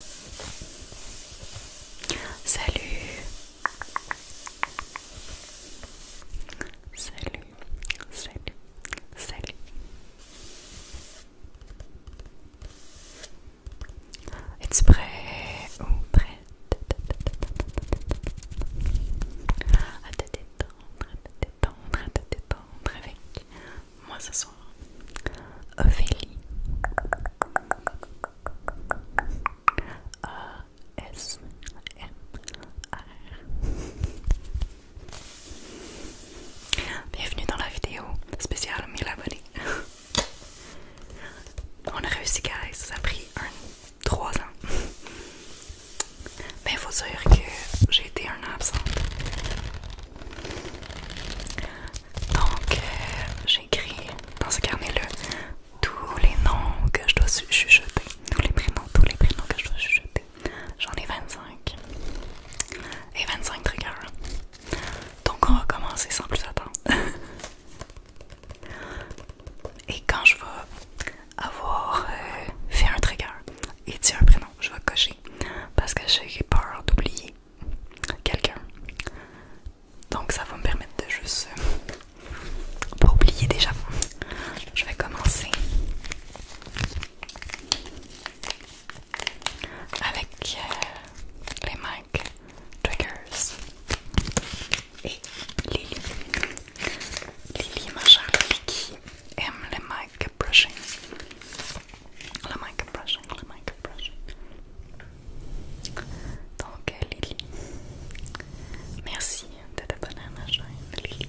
Salut Salut Salut Salut Es-tu prêt ou prêt à te détendre, à te détendre, à te détendre avec moi ce soir. Ophélie. A S M R. Bienvenue dans la vidéo spéciale 1000 abonnés. On a réussi, guys. Ça a pris un, 3 ans. Mais il faut dire que j'ai été un absente. Donc, euh, j'écris dans ce carnet-là tous les noms que je dois chuchoter. Tous les prénoms, tous les prénoms que je dois chuchoter. J'en ai 25. Et 25 triggers. Donc, on va commencer sans plus attendre. Et quand je vais avoir euh, fait un trigger et dit un prénom, je vais cocher parce que j'ai peur d'oublier quelqu'un. Donc ça va me permettre de juste euh, pas oublier déjà. Je vais commencer avec euh, les mic triggers et Lily. Lily, ma qui aime les mic brushing. Le mic brushing, le mic brushing. Donc, euh, Lily, merci de t'abonner à ma chaîne, Lily.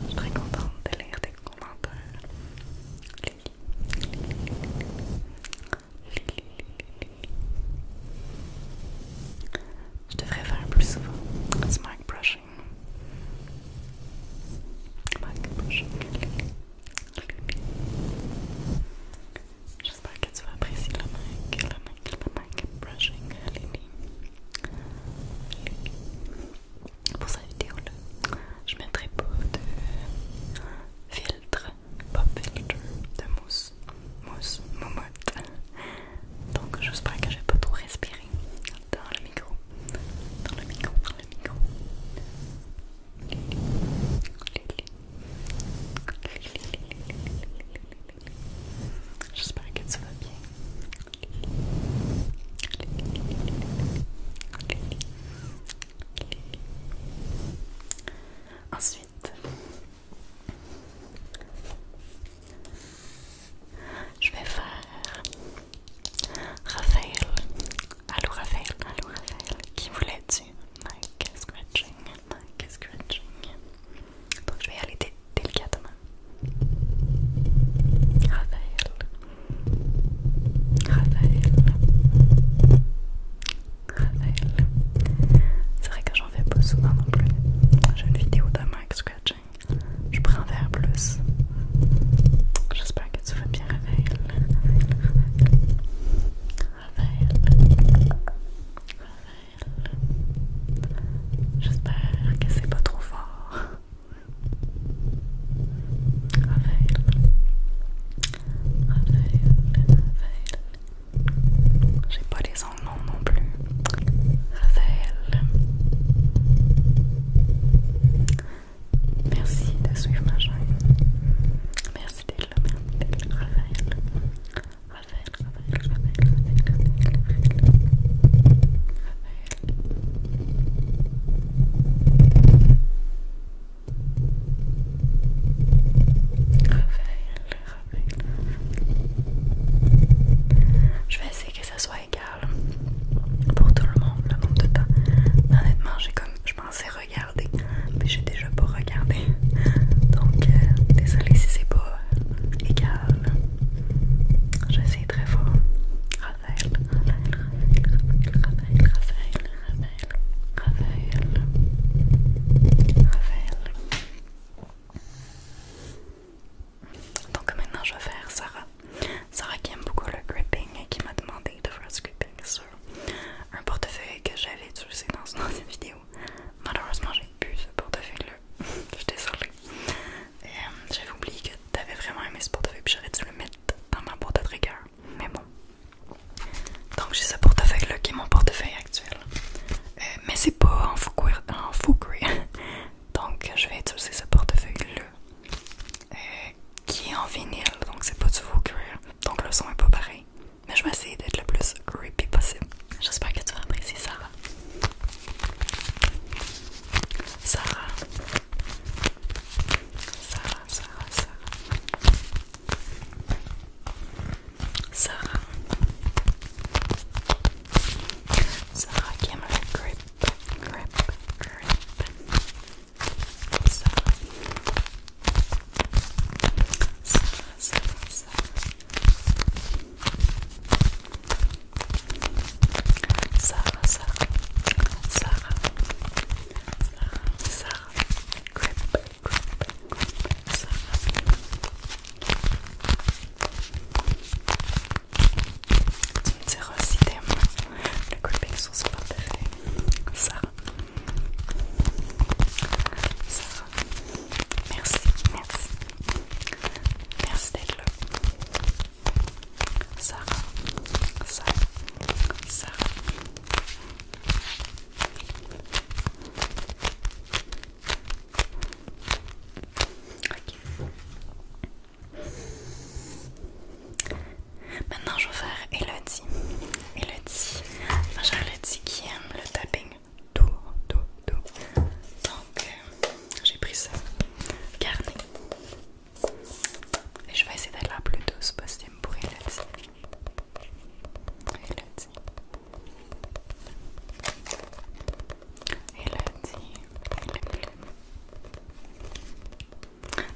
Je suis très contente de lire tes commentaires. Lily, Lily, Lily, Lily, Lily. Je devrais faire plus souvent du mic brushing. brushing, Lily. J'espère que tu vas apprécier le mic, le le brushing, Lily. Pour cette vidéo-là, je mettrai pas de filtre, pop-filter de mousse, mousse, moumoute. Donc j'espère que j'ai pas trop respiré dans le micro, dans le micro, dans le micro. J'espère que tu va bien. Ensuite, je vais faire Raphaël. Allô Raphaël, allô Raphaël, qui voulait du Mike scratching, Mike scratching. Donc je vais y aller délicatement. Raphaël, Raphaël, Raphaël. C'est vrai que j'en fais pas souvent non plus. J'ai une vidéo de mic scratching. Je prends un verre plus. J'espère que tu vas bien, Raphaël. Raphaël. Raphaël. J'espère que c'est pas trop fort. Raphaël. Raphaël. Raphaël. J'ai pas les angles non plus. Raphaël. Merci de suivre ma chaîne. Merci je vais essayer que ça soit égal pour tout le monde, le nombre de temps. Honnêtement, j'ai comme, je pensais regarder mais j'ai déjà pas regardé. Donc, euh, désolée désolé si c'est pas égal. J'essaie très fort. Donc maintenant je vais faire Sarah. Sarah qui aime beaucoup le gripping et qui m'a demandé de faire ce gripping un portefeuille que j'avais utiliser dans une ancienne vidéo. Malheureusement, j'ai pu ce portefeuille-là. Je suis désolée. Euh, j'avais oublié que t'avais vraiment aimé ce portefeuille, puis j'aurais dû le mettre dans ma boîte à Mais bon. Donc, j'ai ce portefeuille-là qui est mon portefeuille actuel. Euh, mais c'est pas en faux Donc, je vais utiliser ce portefeuille-là. Euh, qui est en vinyle, donc c'est pas du faux cuir. Donc le son est pas pareil. Mais je vais essayer d'être le plus creepy possible. J'espère que tu vas apprécier Sarah. Sarah. Sarah, Sarah, Sarah. Sarah. Sarah qui aime le grip, grip, grip. Sarah ça, ça, ça. ça, Sarah, Sarah, Sarah, Sarah, grip, ça Sarah. Tu ça diras ça t'aimes ça gripping ça ça Ça. Ça Merci, merci. Merci d'être là. Sarah, Sarah, Sarah. Ok. Maintenant, je vais faire il Elodie. Elodie, j'ai Elodie qui aime le tapping tout, tout, tout. Donc, euh, j'ai pris ça, carnet Et je vais essayer d'être la plus douce possible pour Elodie. Elodie. Elodie, Elodie. Elodie plus.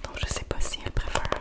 Donc je sais pas si elle préfère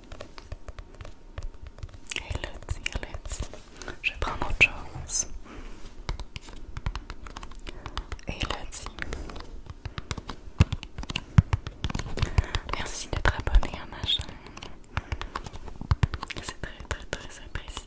Elodie, Elodie. Je vais prendre autre chose. Elodie. Merci d'être abonné à ma chaîne. C'est très très très apprécié.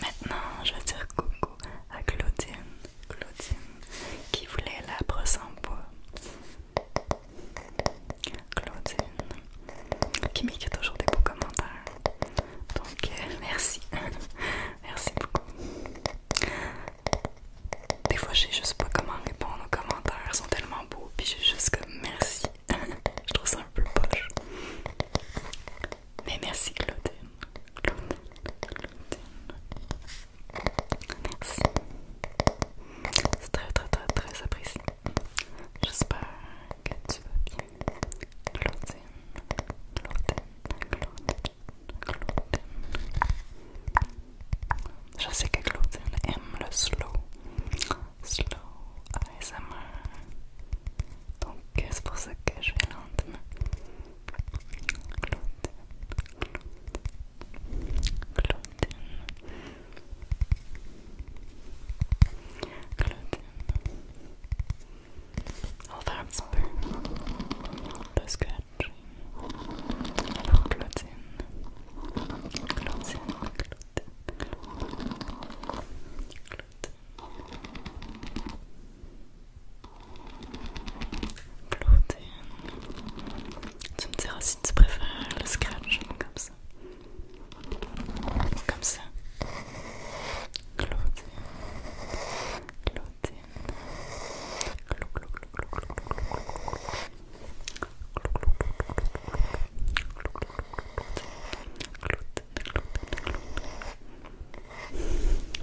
Maintenant, je vais dire coucou à Claudine, Claudine qui voulait la brosse en bois. Claudine qui m'écrit toujours des beaux commentaires. Donc, euh, merci Merci beaucoup. Des fois, je sais juste pas comment répondre aux commentaires, ils sont tellement beaux, puis je j'ai juste que merci. je trouve ça un peu poche. Mais merci, Claudine. Claudine, Claudine. Merci. C'est très, très, très, très apprécié. J'espère que tu vas bien. Claudine, Claudine, Claudine, je sais que Claudine aime le slow. Slow ASMR. Donc c'est pour ça que je vais lentement. Claudine, Claudine, Clotilde. On va faire un petit peu de Alors, clotine. Clotine, clotine, clotine. Clotine. Clotine. Tu me diras si tu préfères le scratching comme ça. Comme ça. Clotine. Clotine.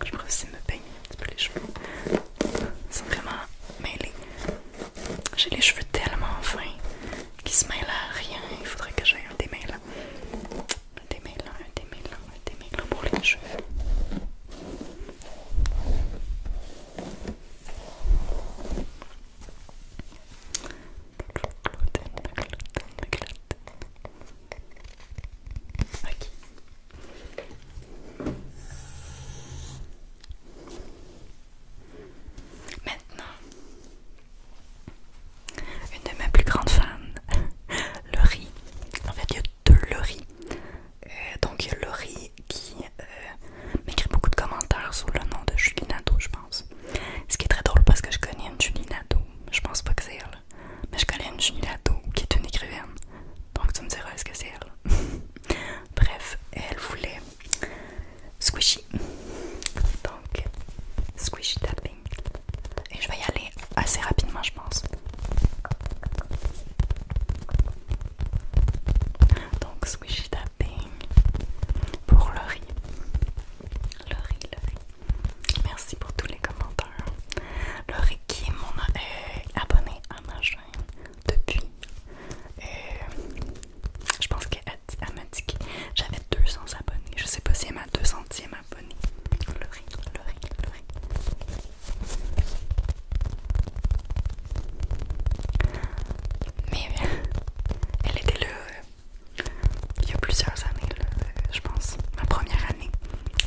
Je que aussi me peigner un petit peu les cheveux. Ils sont vraiment mêlés. J'ai les cheveux tellement fins qu'ils se mêlent à rien. Il faudrait que j'aille un démêlant. Un démêlant, un démêlant, des méglas pour les cheveux. Maintenant, une de mes plus grandes fans, le riz. En fait, il y le riz. Euh, donc, il y a qui euh, m'écrit beaucoup de commentaires sous le nom de Julie Nadeau, je pense. Ce qui est très drôle parce que je connais une Julie Nadeau. Je pense pas que c'est elle, mais je connais une Julie Nadeau qui est une écrivaine. Donc, tu me diras est-ce que c'est elle. Bref, elle voulait squishy. Donc, squishy tapping. Et je vais y aller assez rapidement, je pense. Donc squishy tapping pour le riz. Le Merci pour tous les commentaires. Le qui est mon euh, abonné à ma chaîne depuis. Euh, je pense qu'elle m'a dit que j'avais 200 abonnés. Je sais pas si elle m'a 200e abonné, Le riz, le le mais euh, elle était là euh, il y a plusieurs années, euh, je pense. Ma première année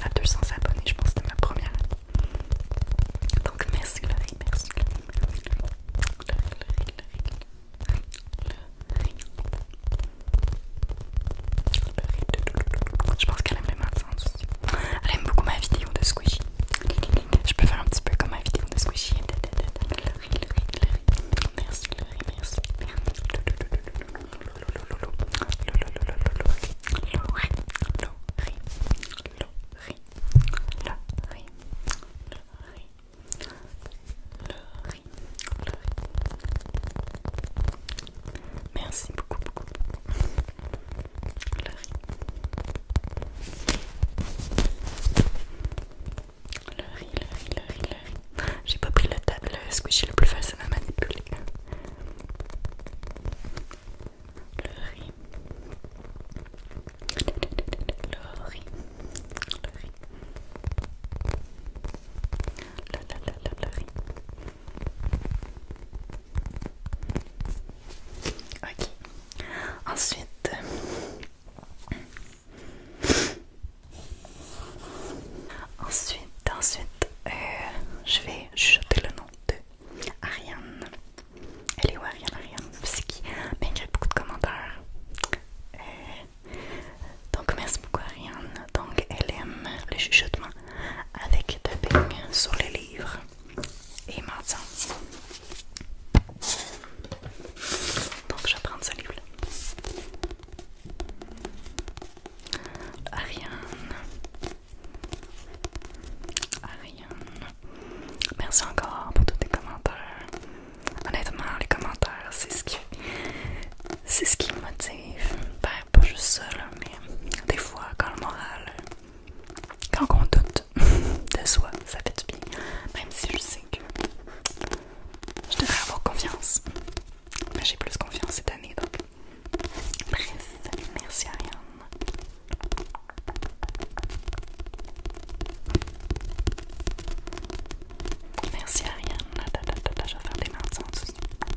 à 200 abonnés, je pense que c'était ma première année. Donc merci Laurie, merci Je pense qu'elle aime ma matins aussi. Elle aime beaucoup ma vidéo de squishy. Je peux faire un petit peu comme ma vidéo de squishy. Merci, merci. Merci beaucoup, beaucoup. Le riz, le riz, le riz, le riz. J'ai pas pris le, le squishy le plus facile à manipuler. Le riz. Le riz. Le riz. Le, le, le, le, le riz. Ok. Ensuite. Ensuite, ensuite, euh, je vais chuchoter le nom de Ariane. Elle est où Ariane? Ariane, c'est qui? Ben, j'ai beaucoup de commentaires. Euh, donc, merci beaucoup Ariane. Donc, elle aime le chuchotement avec ping sur les livres et maintenant Donc je vais prendre ce livre-là. Merci encore pour tous tes commentaires. Honnêtement, les commentaires, c'est ce qui c'est ce qui me motive. Ben, pas juste ça, mais des fois, quand le moral quand on doute de soi, ça fait du bien. Même si je sais que je devrais avoir confiance. Mais j'ai plus confiance cette année, donc. Bref, merci Ariane. Merci Ariane. je vais faire des sans aussi.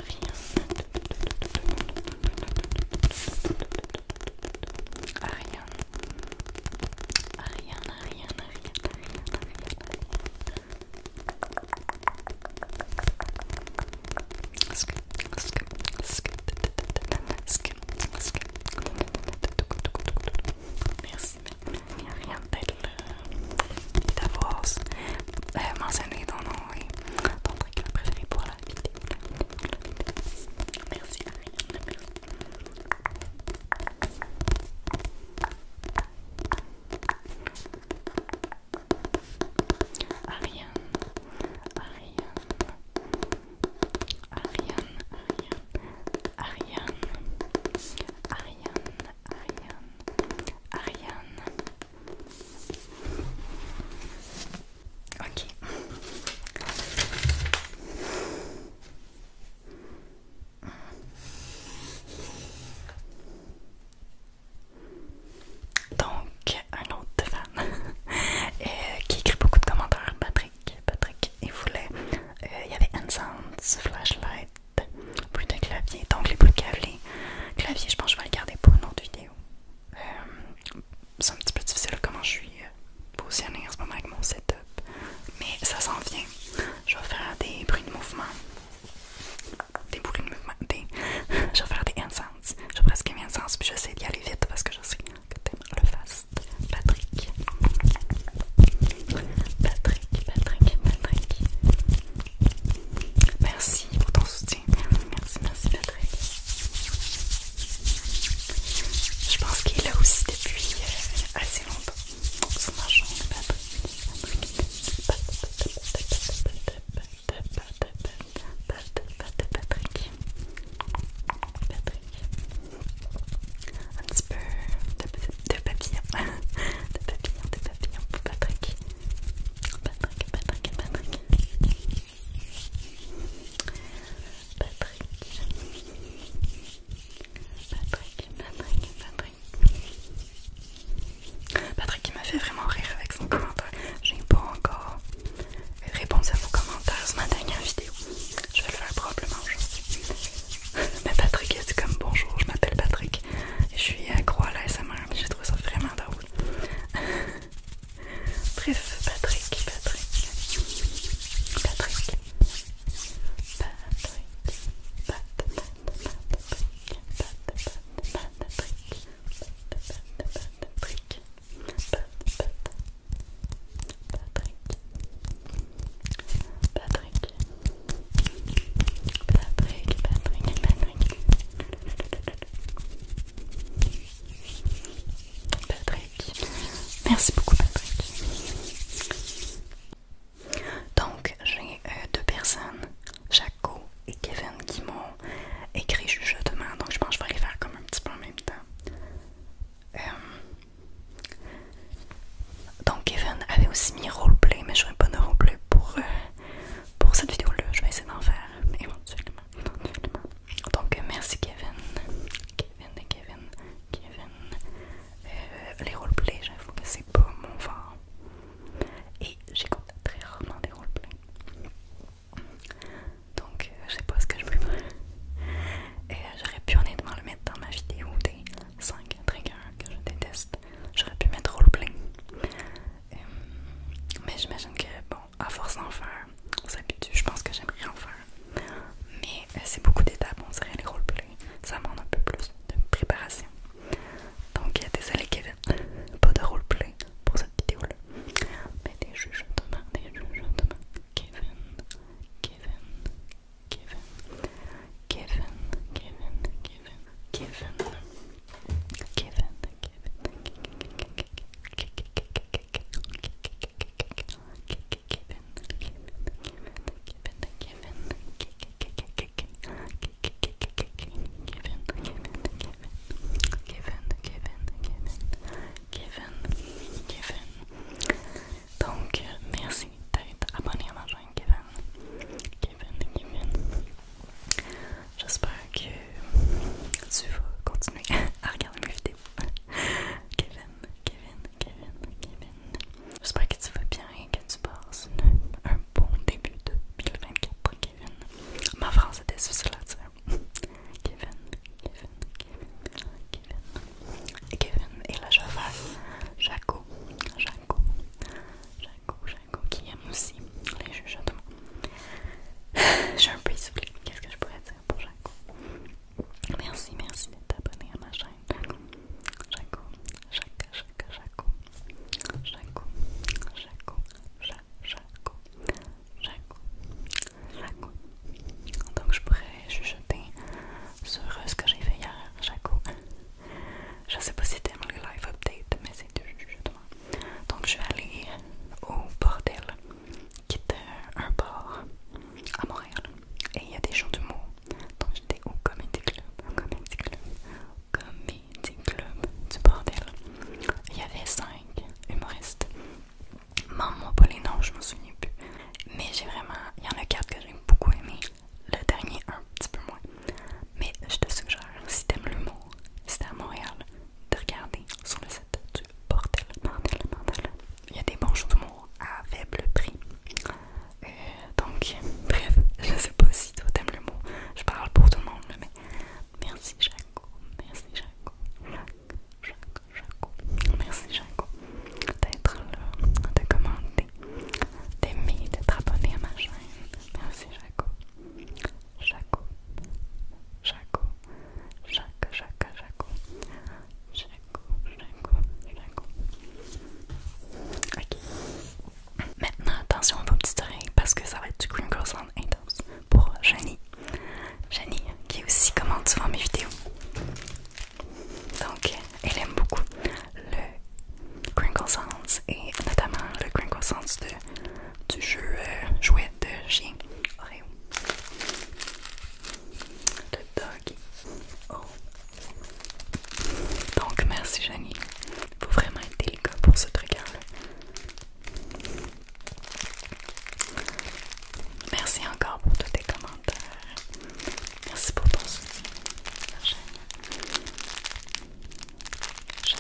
rien. Rien. Rien, rien, rien, rien, rien, rien. Merci, rien rien d'avoir euh, mentionné ton nom et ton truc préféré pour la vidéo. Merci Ariane, merci. Ariane, Ariane, Ariane, Ariane, Ariane, Ariane, Ariane, Ariane, Ok. Donc, un autre fan euh, qui écrit beaucoup de commentaires, Patrick. Patrick, il voulait. Euh, il y avait Ensense, Flashlight, bruit de clavier. Donc, les bruits de clavier, clavier, je pense que je vais le garder pour une autre vidéo. Euh, c'est un petit peu difficile comment je suis euh, positionnée en ce moment avec mon setup, mais ça s'en vient. Je vais faire des bruits de mouvement, des bruits de mouvement, des... je vais faire des incenses. Je presque un sens puis j'essaie d'y aller vite parce que je sais que t'aimes le fast. Patrick, Patrick, Patrick, Patrick. Merci pour ton soutien. Merci, merci Patrick. Je pense qu'il est là aussi depuis euh, assez longtemps. Son argent, Patrick. Patrick. Un petit peu de, de papillon. De papillon, de papillon pour Patrick. Patrick, Patrick, Patrick. Patrick. Patrick, Patrick, Patrick. m'a fait vraiment rire avec son commentaire. J'ai pas encore répondu à vos commentaires sur ma dernière vidéo. Je vais le faire probablement Mais Patrick a dit comme bonjour, je m'appelle Patrick. je suis Croix à SMR J'ai trouvé ça vraiment drôle. Patrick, Bref, Patrick, Patrick, Patrick, Patrick, Patrick, Patrick, Patrick, Patrick, Patrick, Patrick, Patrick, Patrick, Patrick, Patrick, Patrick, Patrick. Merci beaucoup Patrick. Donc j'ai euh, deux personnes, Jaco et Kevin, qui m'ont écrit justement. Donc je pense que je vais les faire comme un petit peu en même temps. Euh, donc Kevin avait aussi mis roleplay, mais je vais pas de roleplay pour, eux pour cette vidéo-là, je vais essayer d'en faire éventuellement, Donc, merci Kevin, Kevin et Kevin, Kevin. Euh, les roleplays, j'avoue que c'est pas mon fort. Et j'écoute très rarement des roleplays. Donc, euh, je sais pas ce que je peux faire. Et euh, J'aurais pu honnêtement le mettre dans ma vidéo des 5 triggers que je déteste. J'aurais pu mettre roleplay. Euh, mais j'imagine que, bon, à force d'en faire, on s'habitue. Je pense que j'aimerais en faire. Mais euh, c'est beaucoup d'étapes, on dirait les play Ça demande un peu plus de préparation. Donc, euh, désolé Kevin, pas de roleplay pour cette vidéo-là. Mais des jeux, demain, des jeux, demain. Kevin, Kevin, Kevin, Kevin, Kevin, Kevin, Kevin, Kevin, Donc merci d'être abonné à ma chaîne Kevin. Kevin, Kevin. J'espère que tu vas continuer à regarder mes vidéos. Kevin, Kevin, Kevin, Kevin. J'espère que tu vas bien et que tu passes un bon début de 2024, Kevin. Ma phrase est difficile là dire. Kevin, Kevin, Kevin, Kevin. Kevin. Et là, je vais Jaco, Jaco, Jaco, Jaco, Jaco qui aime aussi les chuchotements. J'ai un peu expliqué Qu'est-ce que je pourrais dire pour Jaco? Merci, merci de t'abonner à ma chaîne. Jaco, Jaco, Jaco, Jaco, Jaco, Jaco, Jaco, Jaco, Jaco. Donc je pourrais chuchoter sur euh, ce que j'ai fait hier, Jaco. Je sais pas si t'aimes les live update mais c'est du donc je suis allée au bordel, qui est euh, un port à Montréal. Et il y a des gens d'humour. Donc j'étais au Comedy Club, Comedy Club, Comedy Club du bordel. Il y avait cinq humoristes. Maman pas les noms, je me souviens plus. Mais j'ai vraiment. Il y en a quatre que j'ai beaucoup aimé. Le dernier, un petit peu moins. Mais je te suggère, si t'aimes l'humour, si t'es à Montréal, de regarder sur le site du Bordel, Il y a des bons jeux mots à faible prix. Euh, donc, bref, je sais pas si toi t'aimes le mot Je parle pour tout le monde, mais merci Jaco, merci Jaco, Jaco, Jaco, Merci Jaco d'être là, de commenter, d'aimer, d'être abonné à ma chaîne. Merci Jaco. Jaco, Jaco, Jaco, Jaco, Jaco, Jaco, Jaco, Jaco. Ok. Maintenant, attention à vos petites oreilles parce que ça va être du crinkle sounds intense pour Jeannie Jeannie qui aussi commente souvent mes vidéos. Donc, elle aime beaucoup le Crinkle Sounds et notamment le Crinkle Sounds de du jeu euh, jouet de chien Oreo. Le dog. Oh. Donc merci il Faut vraiment être délicat pour ce truc-là. Merci encore pour tous tes commentaires. Merci pour ton soutien. Je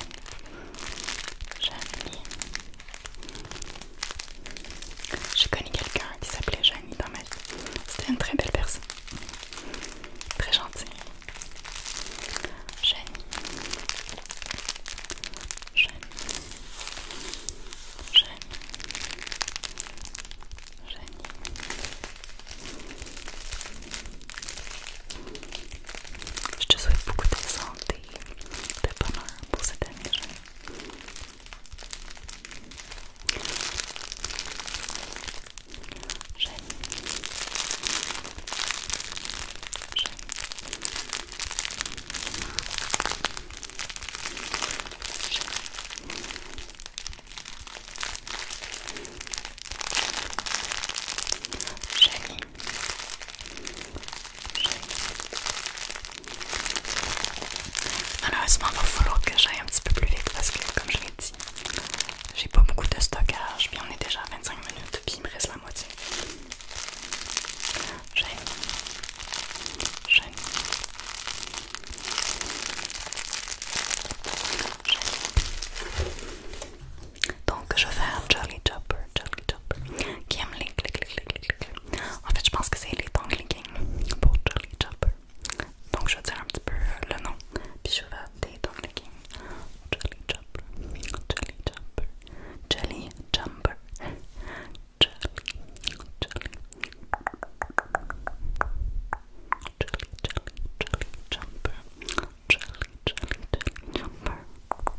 J'ai connu quelqu'un qui s'appelait Jeannie dans ma vie. C'était une très belle personne. Très gentille. Jeannie. Jeannie. Jeannie. Janie. Je te souhaite beaucoup de santé pas mal pour cette Malheureusement, il va falloir que j'aille un petit peu plus vite parce que, comme je l'ai dit, j'ai pas beaucoup de stockage. mais on est déjà à 25 minutes, puis il me reste la moitié. J'aime. Donc je vais faire Jolly Chopper, Jolly qui aime les clics, clics, clics, clics, En fait, je pense que c'est les tongs clicking pour Jolly Chopper. Donc je vais dire un petit peu euh, le nom, puis je vais faire des tongues Jolly Chopper, Jolly Jumper, Jolly Jumper, Jolly, Jolly, Jolly, Jolly Jumper, Jolly, Jolly, Jolly Jumper. jolly, jumper.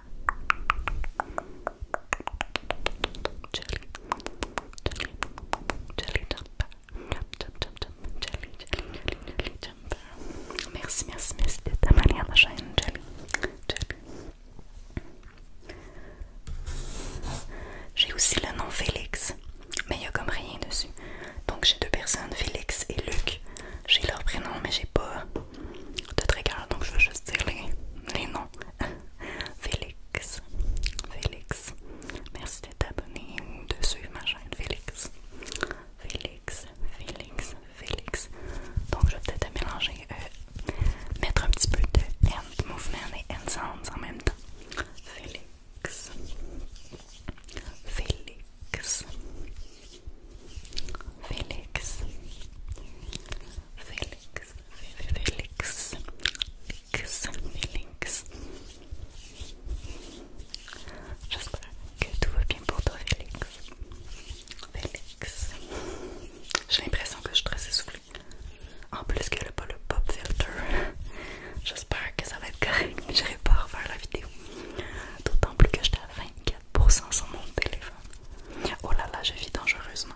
Jelly, jelly, jelly jumper, jump, jump, jump, jump, jelly, jelly, jelly, jelly jumper. Merci, merci, merci d'être abonné à ma chaîne Jelly, jelly. J'ai aussi le nom Félix, mais il y a comme rien dessus. Donc j'ai deux personnes, Félix et Luc. J'ai leur prénom, mais j'ai pas de trigger, donc je vais juste dire les, noms. Félix, Félix, merci de t'abonner ou de suivre ma chaîne Félix. Félix, Félix, Félix. Donc je vais peut-être mélanger, euh, mettre un petit peu de hand movement et hand sounds en même temps. Félix, Félix, Félix, Félix, Félix, Félix, Félix. J'espère que tout va bien pour toi, Félix. Félix. J'ai l'impression que je suis très essoufflée. En plus que a pas le pop filter. J'espère que ça va être correct. J'irai pas refaire la vidéo. D'autant plus que j'étais à 24% sur mon téléphone. Oh là là, je vis dangereusement.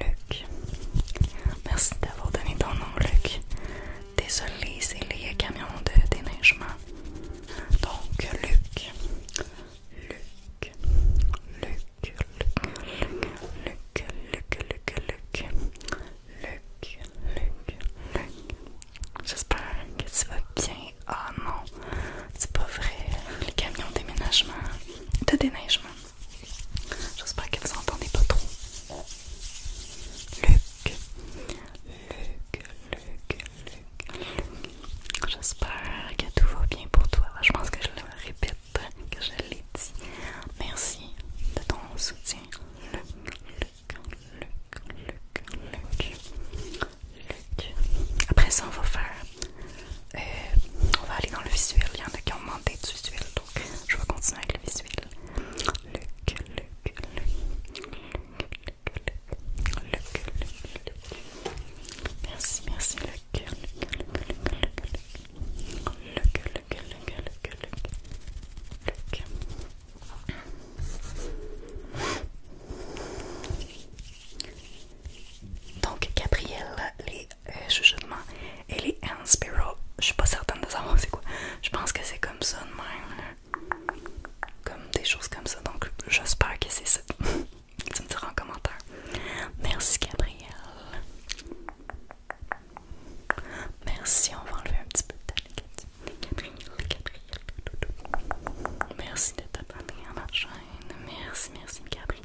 Luc. Merci d'avoir donné ton nom, Luc. Désolé, c'est les camions de déneigement. Donc, Luc. Luc. Luc. Luc, Luc, Luc, Luc, Luc, Luc, Luc, Luc. J'espère que tu vas bien. Ah oh non, c'est pas vrai. Les camions de déménagement, de déneigement. J'espère que vous entendez pas trop. Luc, Luc, Luc, Luc. J'espère que tout va bien pour toi. Je pense que je le répète, que je l'ai dit. Merci de ton soutien. Luc, Luc, Luc, Luc, Luc. Après ça, on va faire. Euh, on va aller dans le visuel. Il y en a qui ont demandé du visuel je vais continuer avec le visuel. Luc, Luc, Luc, Luc, Luc, Luc, Luc, Merci, merci Luc. Luc, Luc, Luc, Luc, Luc, Luc, Luc, Luc. Donc Gabriel, les euh, de chuchotement Ellie est Inspiro. Je suis pas certaine de savoir c'est quoi. Je pense que c'est comme ça de même. Comme des choses comme ça. Donc j'espère que c'est ça. tu me diras en commentaire. Merci Gabrielle, Merci, on va enlever un petit peu de ta Gabriel, Merci de t'abonner à ma chaîne. Merci, merci Gabrielle,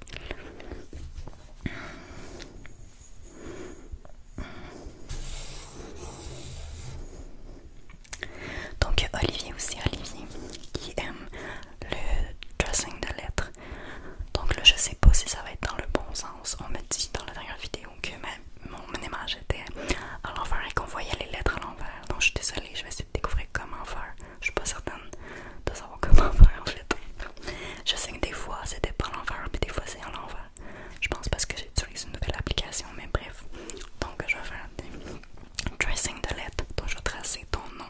donc Olivier aussi, Olivier, qui aime le dressing de lettres. Donc là, je sais pas si ça va être dans le bon sens. On me dit dans la dernière vidéo que mon image était à l'envers et qu'on voyait les lettres à l'envers. Donc je suis désolée, je vais essayer de découvrir comment faire je suis pas certaine de savoir comment faire en fait. Je sais que des fois c'était pas l'envers, mais des fois c'est en l'envers. Je pense parce que j'ai j'utilise une nouvelle application, mais bref. Donc je vais faire un tracing de lettres, donc je vais tracer ton nom.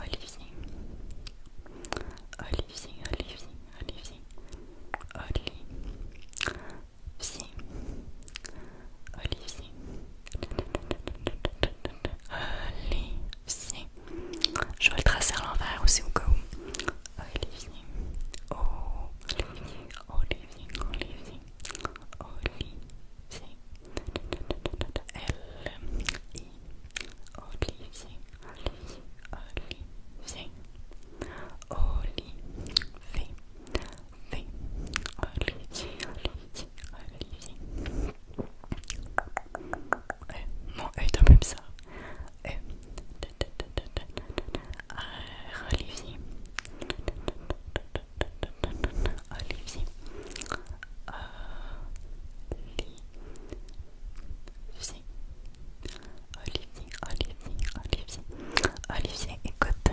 Olivier. Olivier, Olivier, Olivier. Olivier. Olivier. Olivier. Je vais le tracer à l'envers aussi au quoi moi eh, mon œil même ça. Eh. Ah, Olivier. Olivier. Ah, Olivier. Olivier, Olivier, Olivier. Olivier écoute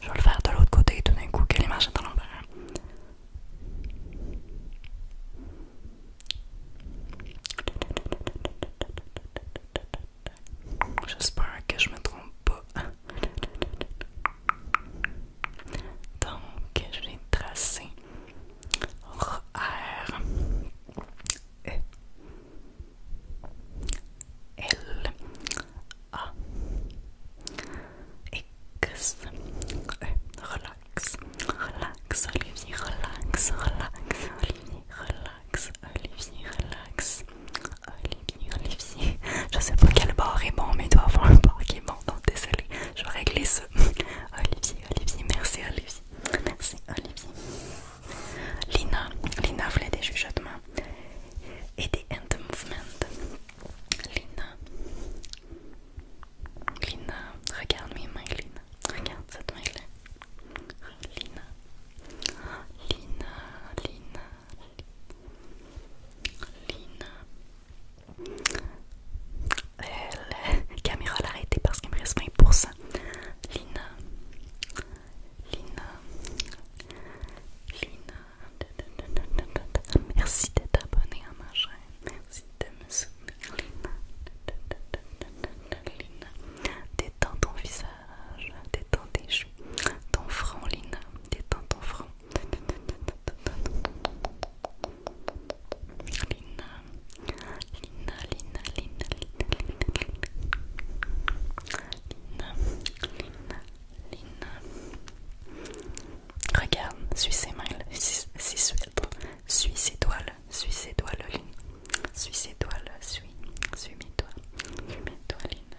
je vais le faire de l'autre côté tout d'un coup quelle image dans en J'espère que je me trompe pas. Donc, je vais tracer R, e L, A, X, E. Relax, relax, Olivier, relax, relax, Olivier, relax, Olivier, relax. Olivier, Olivier. Je sais pas quel bord est bon, mais il doit avoir un bord qui est bon. Donc désolé, je vais régler ça. Olivier, Olivier, merci Olivier. Merci Olivier. Lina, Lina voulait des chuchotements et des hand movements. Lina, Lina, regarde mes mains, Lina. Regarde cette main Lina, Lina, Lina. Lina. Elle caméra l'a arrêté parce qu'il me reste 20%. Lina. Lina. Lina. Merci d'être abonné à ma chaîne. Merci de me soutenir. Lina. Lina. Détends ton visage. Détends tes Ton front, Lina. Détends ton front. Lina. Lina, Lina, Lina, Lina, Lina, Lina. Lina, Lina, Regarde, suis ses mains, suis, suis ses doigts, suis ses doigts, Lina. Suis ses doigts, suis, suis mes doigts, suis mes doigts, Lina.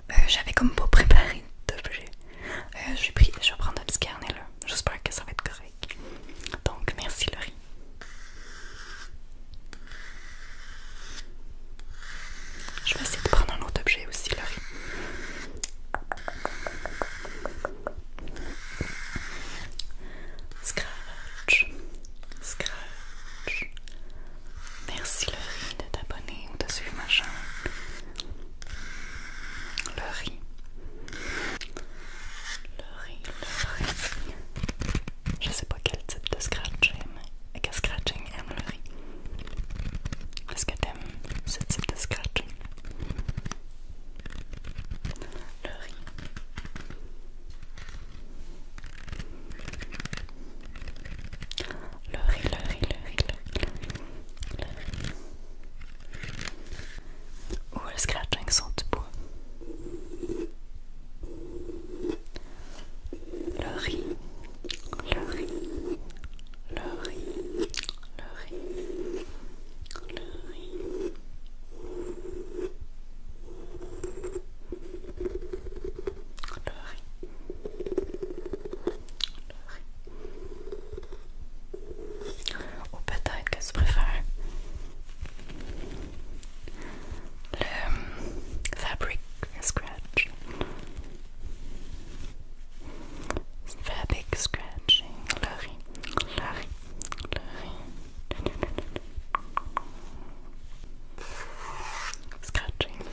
Euh, j'avais comme beau préparé j'ai euh, pris, je vais prendre un petit carnet là. J'espère que ça va être correct. Donc, merci Laurie. Je vais essayer de prendre un autre objet aussi, Laurie. Scratch, scratch, Merci le riz de t'abonner ou de suivre ma le riz, le riz Je sais pas quel type de scratching, aime que scratching aime Le Riz. Est-ce que t'aimes ce type de scratching? Le riz le riz, le riz, le riz, le riz, le riz. Ou le scratching sans debout. Le le riz, le riz, le riz, le riz. Le riz. Ou peut-être que tu préfères le euh, fabric scratch. Fabric scratching, le riz, Scratching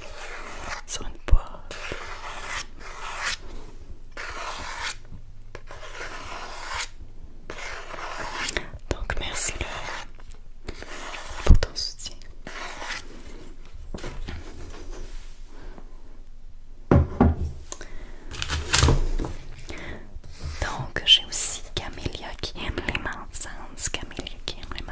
sur une Donc merci le pour ton soutien. Donc j'ai aussi Camélia qui aime les manzanes, Camélia qui aime les mans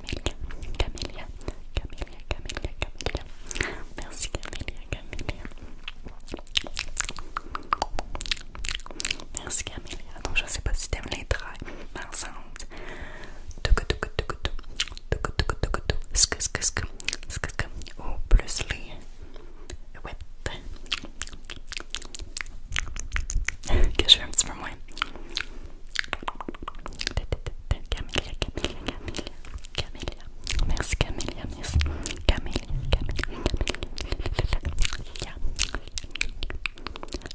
Camélia, Camélia, Camélia, Camélia, Merci Camélia, Camélia. Merci Camélia. Donc je sais pas si t'aimes les traits, mais ensemble. plus les que je un petit Camélia, Camélia, Camélia, Camélia. Merci Camélia, merci. Camélia, Camélia, Camélia.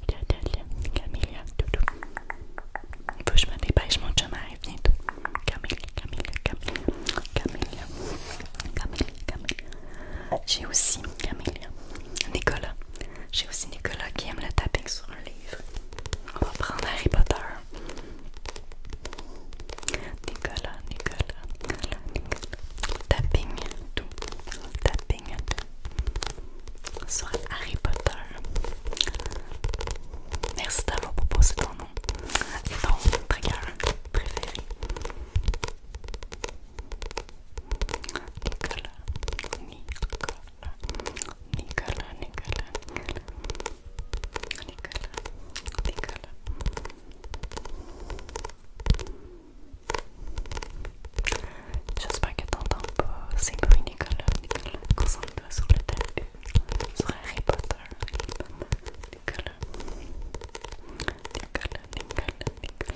Camélia, Camélia, Camélia, Il faut Camélia, Camélia, Camélia, Camélia, Camélia, Camélia. J'ai aussi Camélia, Nicolas, j'ai aussi Nicolas qui aime le tapping sur un livre. On va prendre Harry Potter. Nicolas, Nicolas, Nicolas, Tapping tout. Tapping Sur Harry Potter. Merci d'avoir proposé ton nom. Et ton préféré. Nicolas, Nicolas, Nicolas, Nicolas, Nicolas, Nicolas, Nicolas. J'espère que t'entends pas ces bruits, Nicolas, Nicolas. Concentre-toi sur le tapis, sur Harry Potter, Nicolas, Nicolas, Nicolas, Nicolas, Nicolas.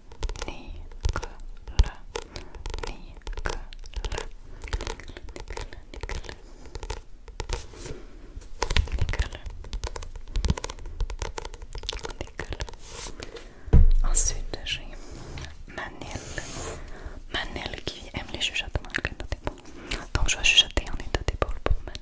ni Nicolas, le Ensuite, j'ai Manel. Manel qui aime les chuchotements en état Donc, je vais chuchoter en état d'épaule pour Manel.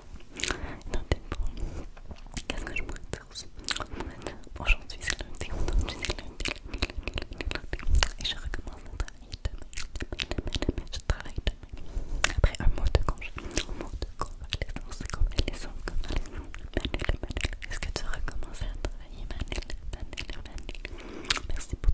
Non, t'es Qu'est-ce que je pourrais Aujourd'hui, c'est Et je recommence à travailler demain. je travaille Après un mois de congé. Un mot de convalescence, est-ce que tu recommences à travailler, Merci pour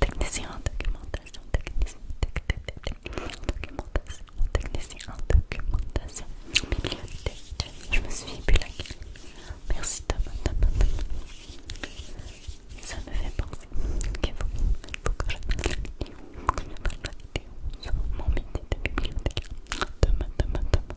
Technicien en documentation, technicien, en documentation, technicien en documentation, bibliothèque. Je me suis bu Merci Thomas, Thomas, Thomas. Ça me fait penser qu'il faut, faut que je fasse la vidéo, je vidéo sur mon métier de bibliothèque. Thomas, Thomas, Thomas.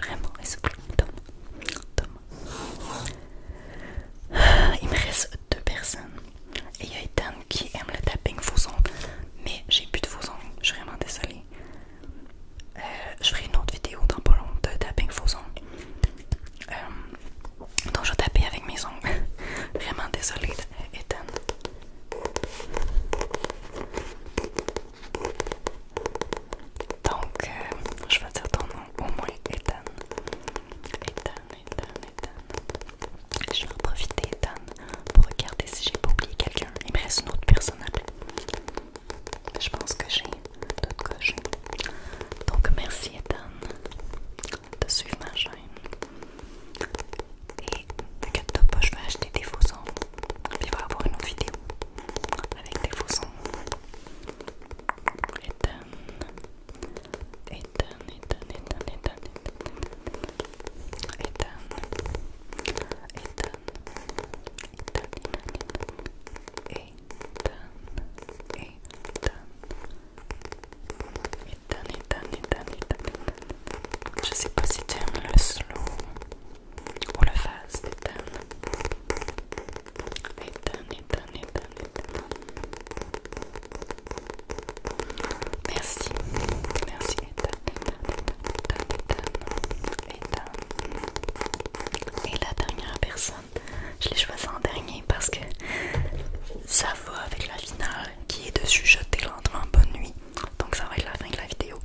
Vraiment, il ah, Il me reste deux personnes. Et il y a Ethan qui aime le tapping faux ongles. Mais j'ai plus de faux ongles. Je suis vraiment désolée. Euh, je ferai une autre vidéo dans pas de tapping faux ongles. Euh, donc je tapais avec mes ongles. vraiment désolée, Ethan. Donc, euh, je vais dire ton nom au moins, Ethan. Ethan, Ethan, Ethan. Je vais en profiter, Ethan, pour regarder si j'ai pas oublié quelqu'un. Il me reste une autre personne à Je pense que j'ai d'autres j'ai. Donc, merci, Ethan, de suivre ma chaîne. Et t'inquiète pas, je vais acheter des faux sons. Puis il va y avoir une autre vidéo avec des faux sons. Je sais pas si tu aimes le slow pour le phase d'éteindre. Merci, merci, Et la dernière personne, je l'ai choisie en dernier parce que ça va avec la finale qui est de chuchoter lentement bonne nuit. Donc ça va être la fin de la vidéo.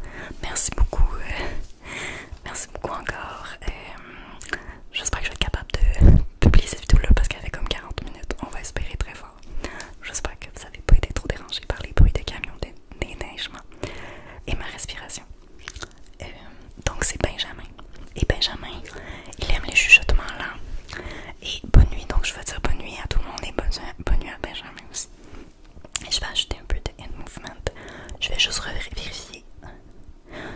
Merci beaucoup. Euh, Merci beaucoup encore. Hum, j'espère que je vais être capable de publier cette vidéo-là parce qu'elle fait comme 40 minutes. On va espérer très fort. J'espère que vous avez pas été trop dérangé par les bruits Des camions, des neiges et ma respiration. Hum, donc c'est Benjamin. Et Benjamin, il aime les chuchotements lents. Et bonne nuit, donc je vais dire bonne nuit à tout le monde et bonne, bonne nuit à Benjamin aussi. Et je vais ajouter un peu de hand movement. Je vais juste vérifier.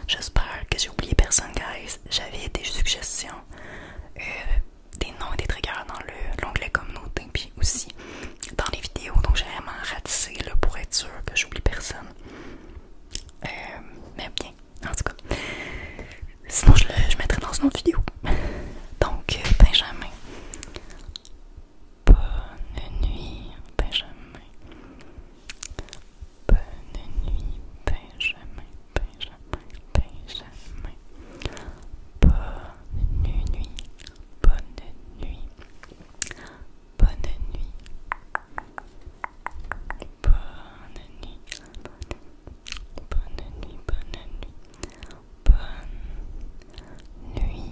J'espère que j'ai oublié personne, guys. J'avais des suggestions, euh, des noms et des triggers dans l'onglet communauté, puis aussi dans les vidéos. Donc j'ai vraiment ratissé le pour être sûr que j'oublie personne. Euh, mais bien, en tout cas. Sinon, je le je mettrai dans une autre vidéo. Donc, euh, Benjamin. Bonne nuit, jamais. Bonne nuit, jamais, bonne nuit Bonne nuit, bonne nuit, bonne nuit. Bonne nuit, bonne nuit, bonne nuit, bonne nuit, bonne nuit,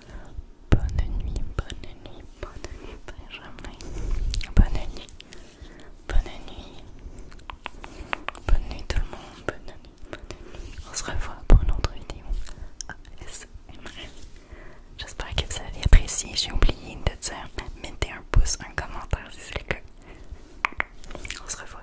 Bonne nuit, bonne nuit, bonne nuit, jamais Bonne nuit, bonne nuit. Bonne nuit tout le monde, bonne nuit, On se revoit pour une autre vidéo ASMR. J'espère que vous avez apprécié. J'ai oublié de dire, mettez un pouce, un commentaire si c'est le cas. On se revoit.